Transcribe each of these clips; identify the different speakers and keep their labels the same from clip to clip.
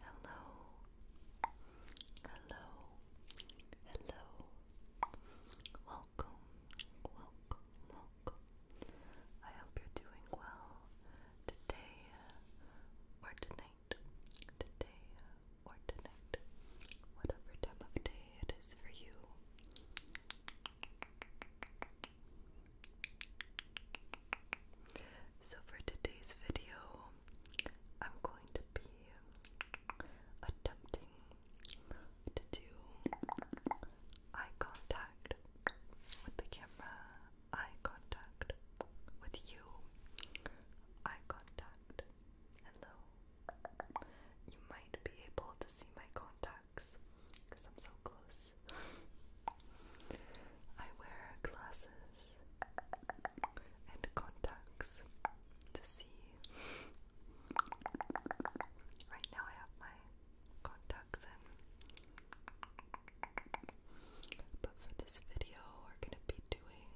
Speaker 1: Hello, hello, hello. Welcome, welcome, welcome. I hope you're doing well today uh, or tonight, today uh, or tonight, whatever time of day it is for you. So, for today's video, I'm going to be attempting to do eye contact with the camera, eye contact with you, eye contact. Hello. You might be able to see my contact because I'm so close. I wear glasses and contacts to see. Right now, I have my contacts in, but for this video, we're gonna be doing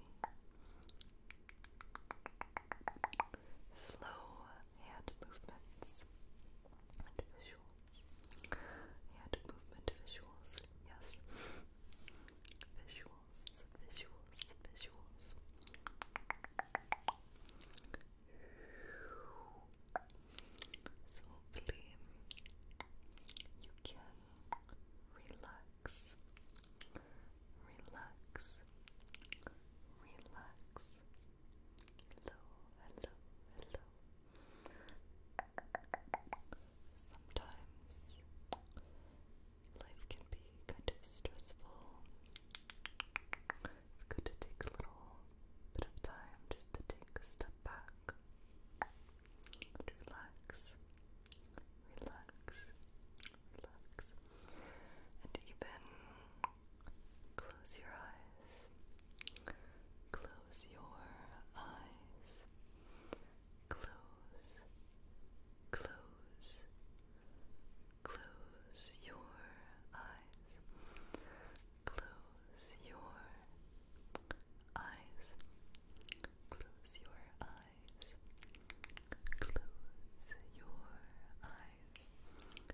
Speaker 1: slow hand movements visuals. Hand movement visuals, yes. Visuals, visuals, visuals. So hopefully you can relax, relax, relax, Hello, hello, hello. Sometimes life can be kind of stressful. It's good to take a little bit of time just to take a step back relax. Relax, relax, and even close your eyes. Close your eyes. Close, close, close your eyes. Close your eyes. Close your eyes. Close your eyes eyes.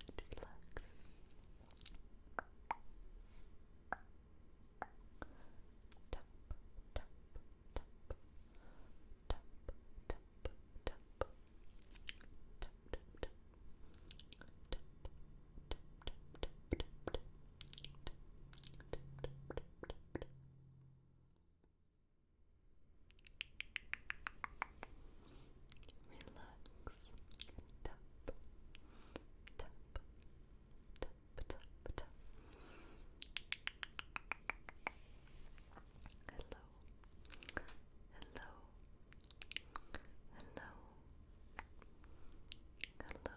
Speaker 1: Just relax. Tap, tap, tap, tap, tap, tap, tap, tap, tap. Relax. Tap. Tap. Tap. Tap. Tap. Hello. Hello. Hello. Hello. Hello.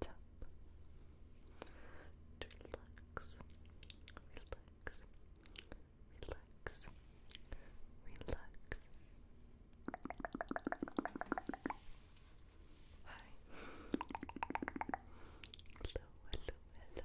Speaker 1: tap to relax, relax, relax, relax. Hi. Hello, hello, hello.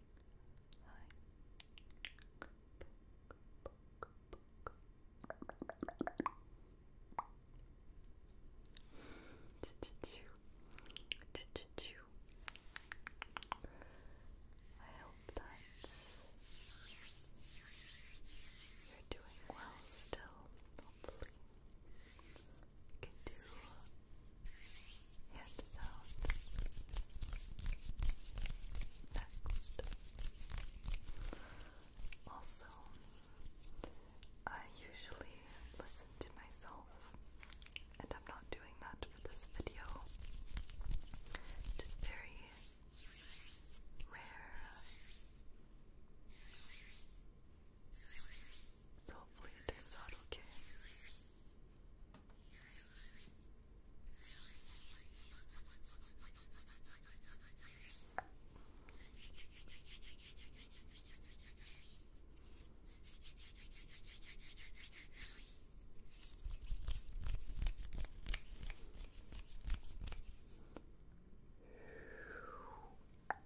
Speaker 1: Hi. I hope that you're doing well still. Hopefully, you can do hand sounds. Next, also, I usually listen to myself, and I'm not doing that for this video. Just very rare so hopefully it turns out okay.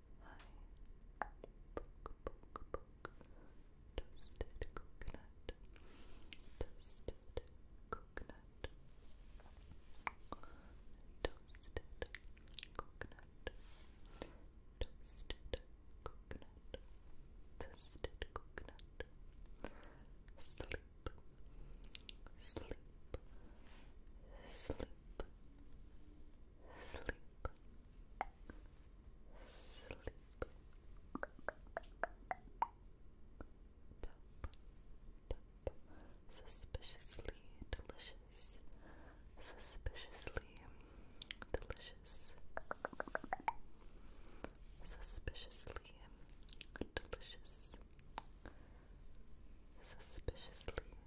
Speaker 1: Hi. Poke, poke, poke. Toasted coconut. Toasted coconut. Toasted coconut. Toasted coconut. Toasted coconut. Sleep. Sleep. Sleep. Sleep sleep Top, suspiciously delicious suspiciously delicious suspiciously delicious suspiciously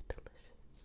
Speaker 1: delicious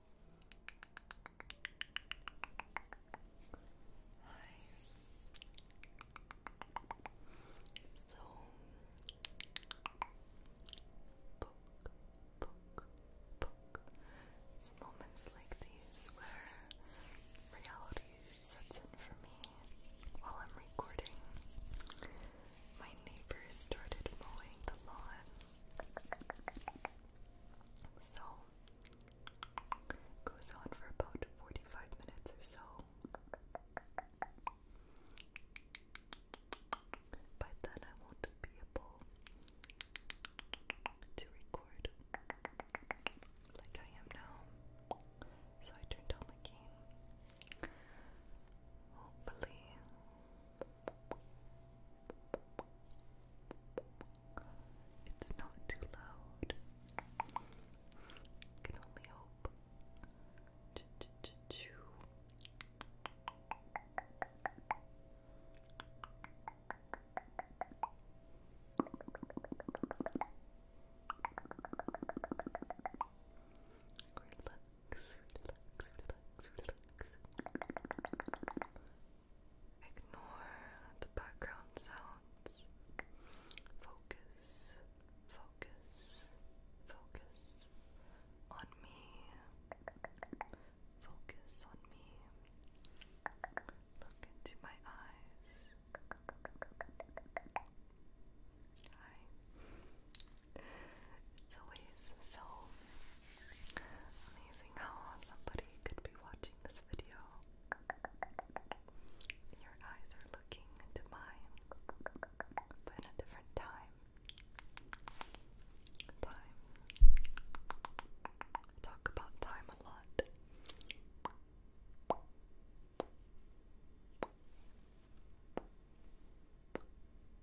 Speaker 1: Hi. So book, book, book. It's moments like these where reality sets in for me while I'm recording. My neighbor started mowing the lawn so goes on for about 45 minutes or so. By then I won't be able to record like I am now. So I turned on the game. Hopefully it's not too loud. Can only hope. Ch -ch -ch -chew relax, relax, Ignore the background sounds. Focus, focus, focus on me. Focus on me. Look into my eyes. Hi. It's always so amazing how somebody could be watching this video. Your eyes are looking into mine, but in a different time. Time. talk about time a lot.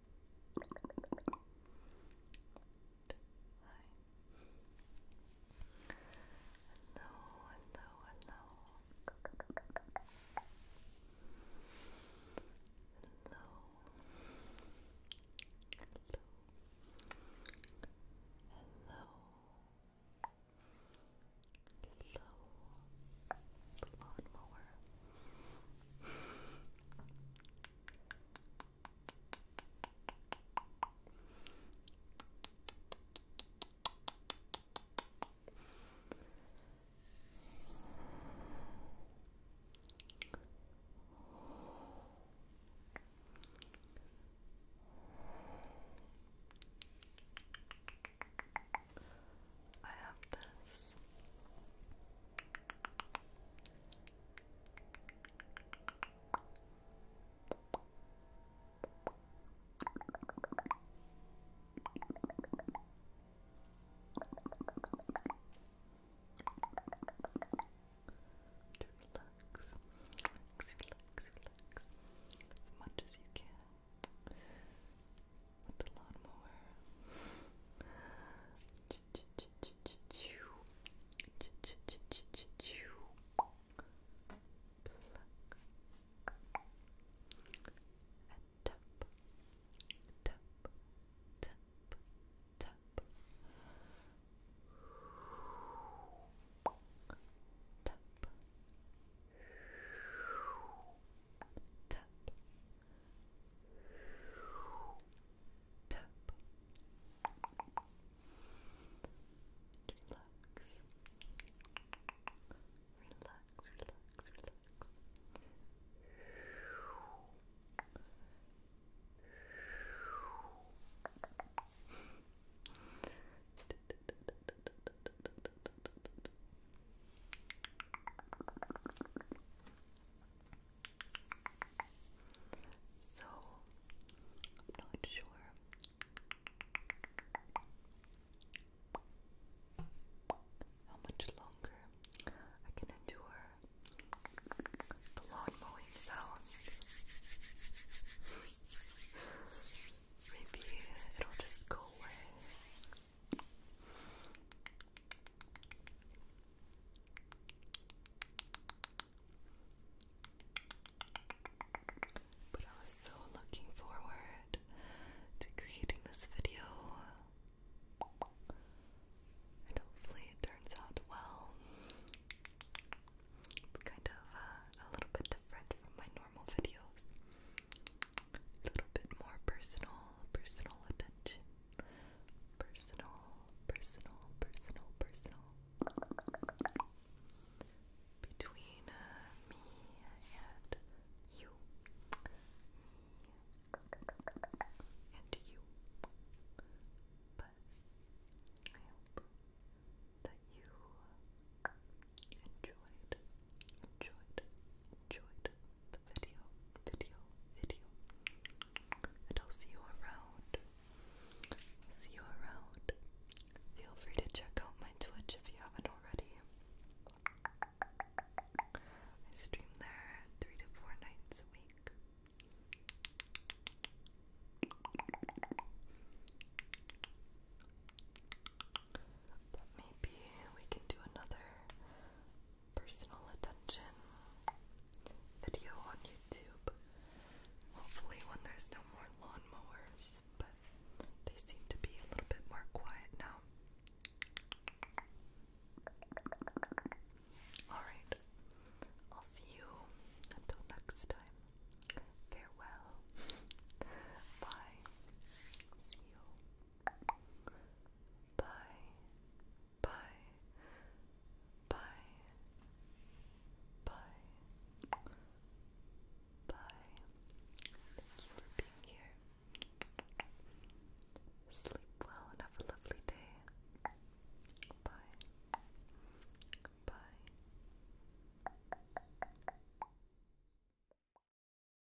Speaker 1: Hi. Hello, hello, hello. Hello. Hello. Hello. Hello. I have this Relax, relax, relax, relax as much as you can with the lawnmower tap, tap, tap, tap. Tap. Relax. Relax, relax, relax. So, i not sure. How much longer I can endure the lawn mowing sound? Maybe it'll just go away. But I was so looking forward to creating this video. And hopefully it turns out well. It's kind of uh, a little bit different from my normal videos. A little bit more personal, personal attention personal, personal, personal, personal between uh, me and you, me and you. But I hope that you enjoyed, enjoyed, enjoyed video, video, video. And I'll see you around. See you around. Feel free to check out my Twitch if you haven't already. I stream there three to four nights a week. maybe we can do another personal attention video on YouTube. Hopefully, when there's no more lawnmowers, but they seem to be a little bit more quiet now. Alright, I'll see you until next time. Farewell. Bye. See you. Bye. Bye. Bye. Bye. Bye. Thank you for being here. Sleep well and have a lovely day. Bye. Bye.